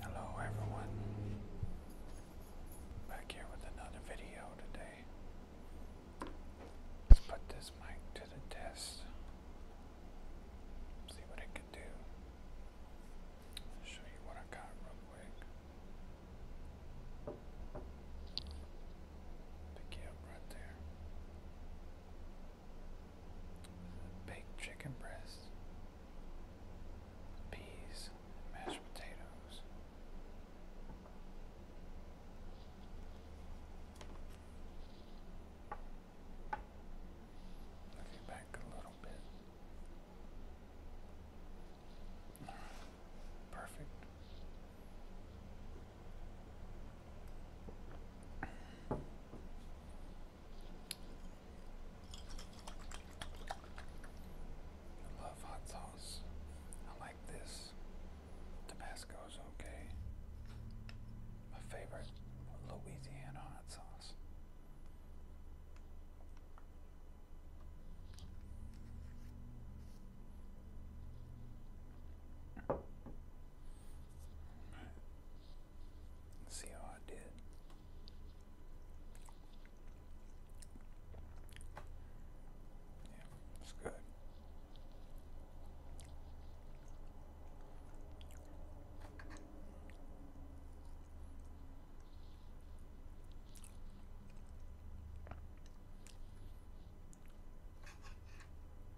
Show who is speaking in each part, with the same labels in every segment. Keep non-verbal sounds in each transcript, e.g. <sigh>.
Speaker 1: Hello everyone, back here with another video today. Let's put this mic to the test, see what it can do. show you what I got real quick. Pick you right there baked chicken breast, peas, mashed potatoes. Looking back a little bit. Perfect. I love hot sauce. I like this. Tabasco's okay. My favorite Louisiana hot sauce see how I did. Yeah, that's good.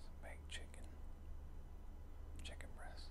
Speaker 1: Some baked chicken, chicken breast.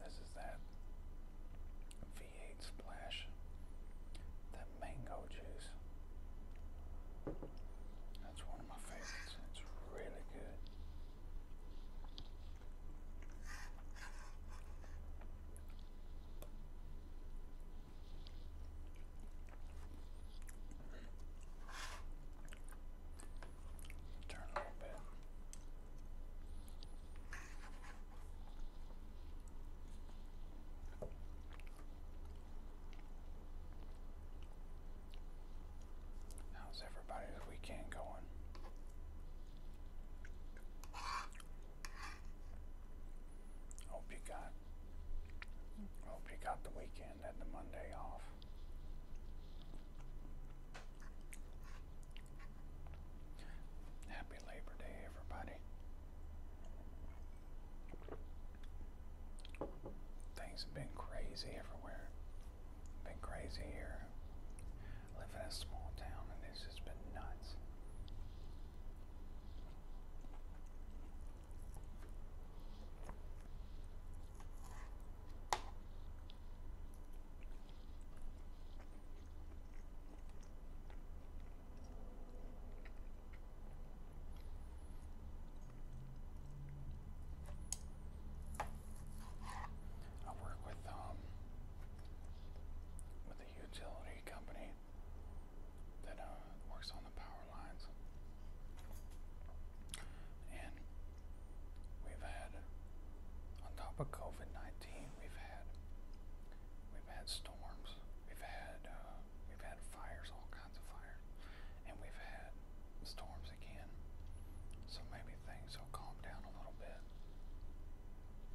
Speaker 1: This is that V8 splash, that mango juice. That's one of my favorites. It's really good. Turn a little bit. How's everybody's weekend going? Hope you guys Hope you got the weekend and the Monday off. Happy Labor Day, everybody. Things have been crazy everywhere. Been crazy here. live in a small town and it's just been nuts. I work with um with a utility company company that uh, works on the power lines, and we've had, on top of COVID nineteen, we've had we've had storms, we've had uh, we've had fires, all kinds of fires, and we've had storms again. So maybe things will calm down a little bit.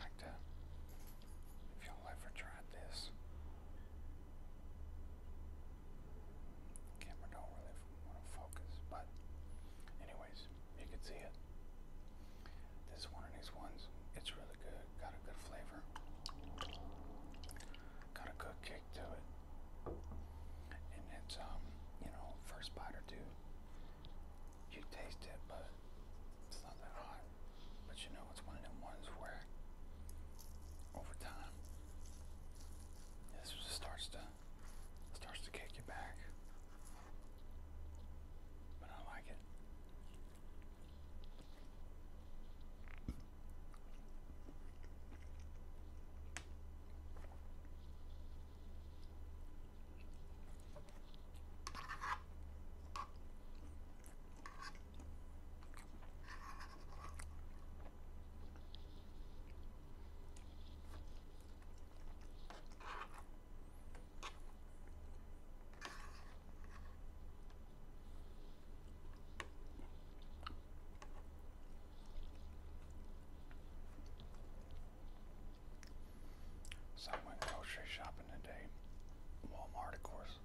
Speaker 1: Like that. If you y'all ever tried this. Camera don't really focus, but anyways, you can see it. This is one of these ones. It's really good. Got a good flavor. Got a good kick to it. And it's um, you know, first bite or two, you taste it, but it's not that hot. But you know, it's one of them ones where over time this starts to starts to kick you back. But I like it. So I went grocery shopping today. Walmart, of course.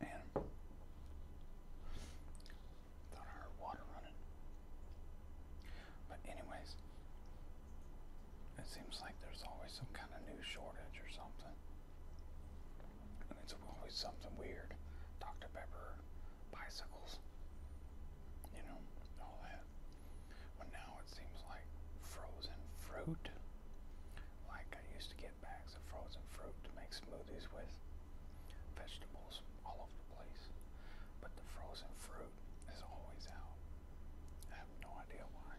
Speaker 1: Man. Thought I heard water running. But anyways, it seems like there's always some kind of new shortage or something. And it's always something weird. Dr. Pepper, bicycles, you know, all that. Well, now it seems like frozen fruit. Like I used to get bags of frozen fruit to make smoothies with vegetables all over the place. But the frozen fruit is always out. I have no idea why.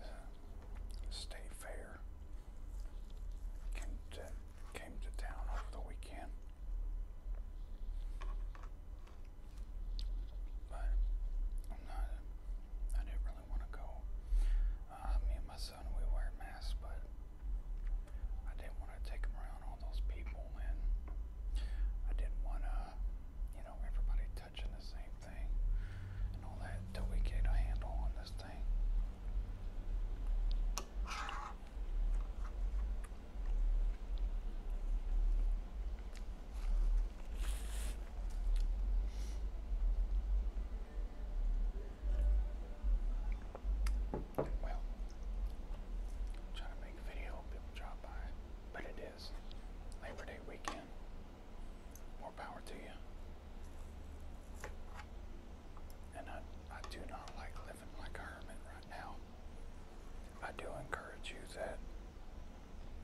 Speaker 1: Uh, Stay Fair came to, came to town over the weekend. But I'm not, I didn't really want to go. Uh, me and my son, we wear masks, but I didn't want to take them around all those people, and I didn't want to, you know, everybody touching the same thing and all that until we get a handle on this thing. Well, trying to make video, people drop by, but it is Labor Day weekend more power to you. And I, I do not like living like a hermit right now. I do encourage you that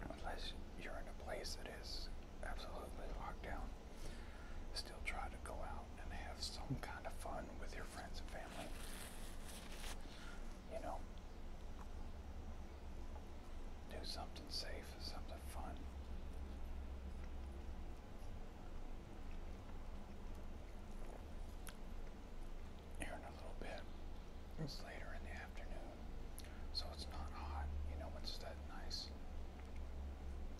Speaker 1: unless you're in a place that is absolutely locked down, still try to go out and have some kind of fun with your friends and family. You know, do something safe, something fun. Here in a little bit, it's later in the afternoon, so it's not hot. You know, it's that nice,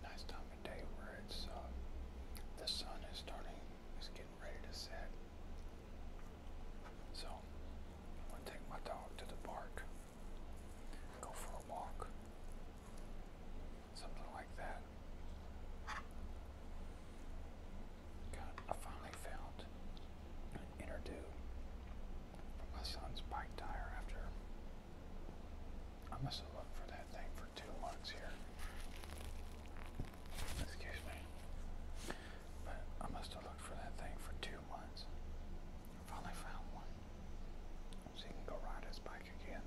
Speaker 1: nice time of day where it's uh, the sun is starting, is getting ready to set. So I'm gonna take my dog to the park. Go for a walk. Something like that. God, I finally found an inner tube for my son's bike tire after. I must have looked for that thing for two months here. Excuse me. But I must have looked for that thing for two few months. finally found one. So you can go ride his bike again.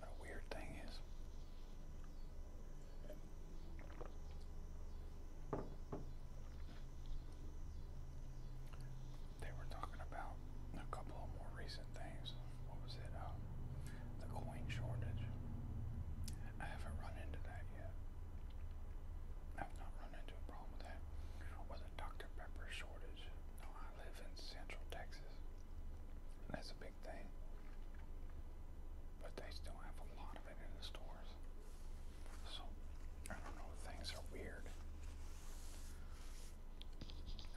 Speaker 1: But weird thing is they were talking about a couple of more recent things. What was it? Um, the coin shortage. I haven't run into that yet. I've not run into a problem with that. Or the Dr. Pepper shortage. No, I live in Central Texas. That's a big thing but they still have a lot of it in the stores. So, I don't know, things are weird.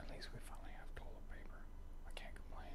Speaker 1: At least we finally have toilet paper. I can't complain.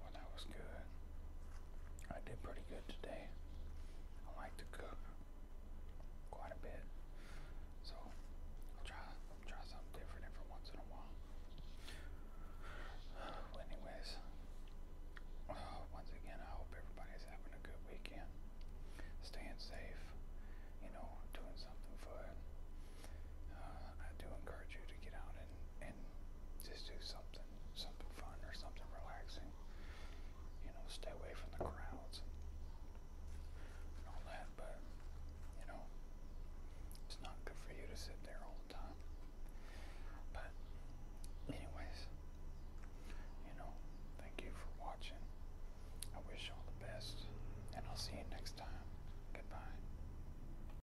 Speaker 1: Well, that was good. I did pretty good today. I like to cook quite a bit, so I'll try try something different every once in a while. <sighs> Well, anyways, <sighs> once again, I hope everybody's having a good weekend, staying safe, you know, doing something fun. Uh, I do encourage you to get out and, just do something, something fun or something relaxing. You know, stay away from the crowds and all that, but, you know, it's not good for you to sit there all the time. But, anyways, you know, thank you for watching. I wish all the best, and I'll see you next time. Goodbye.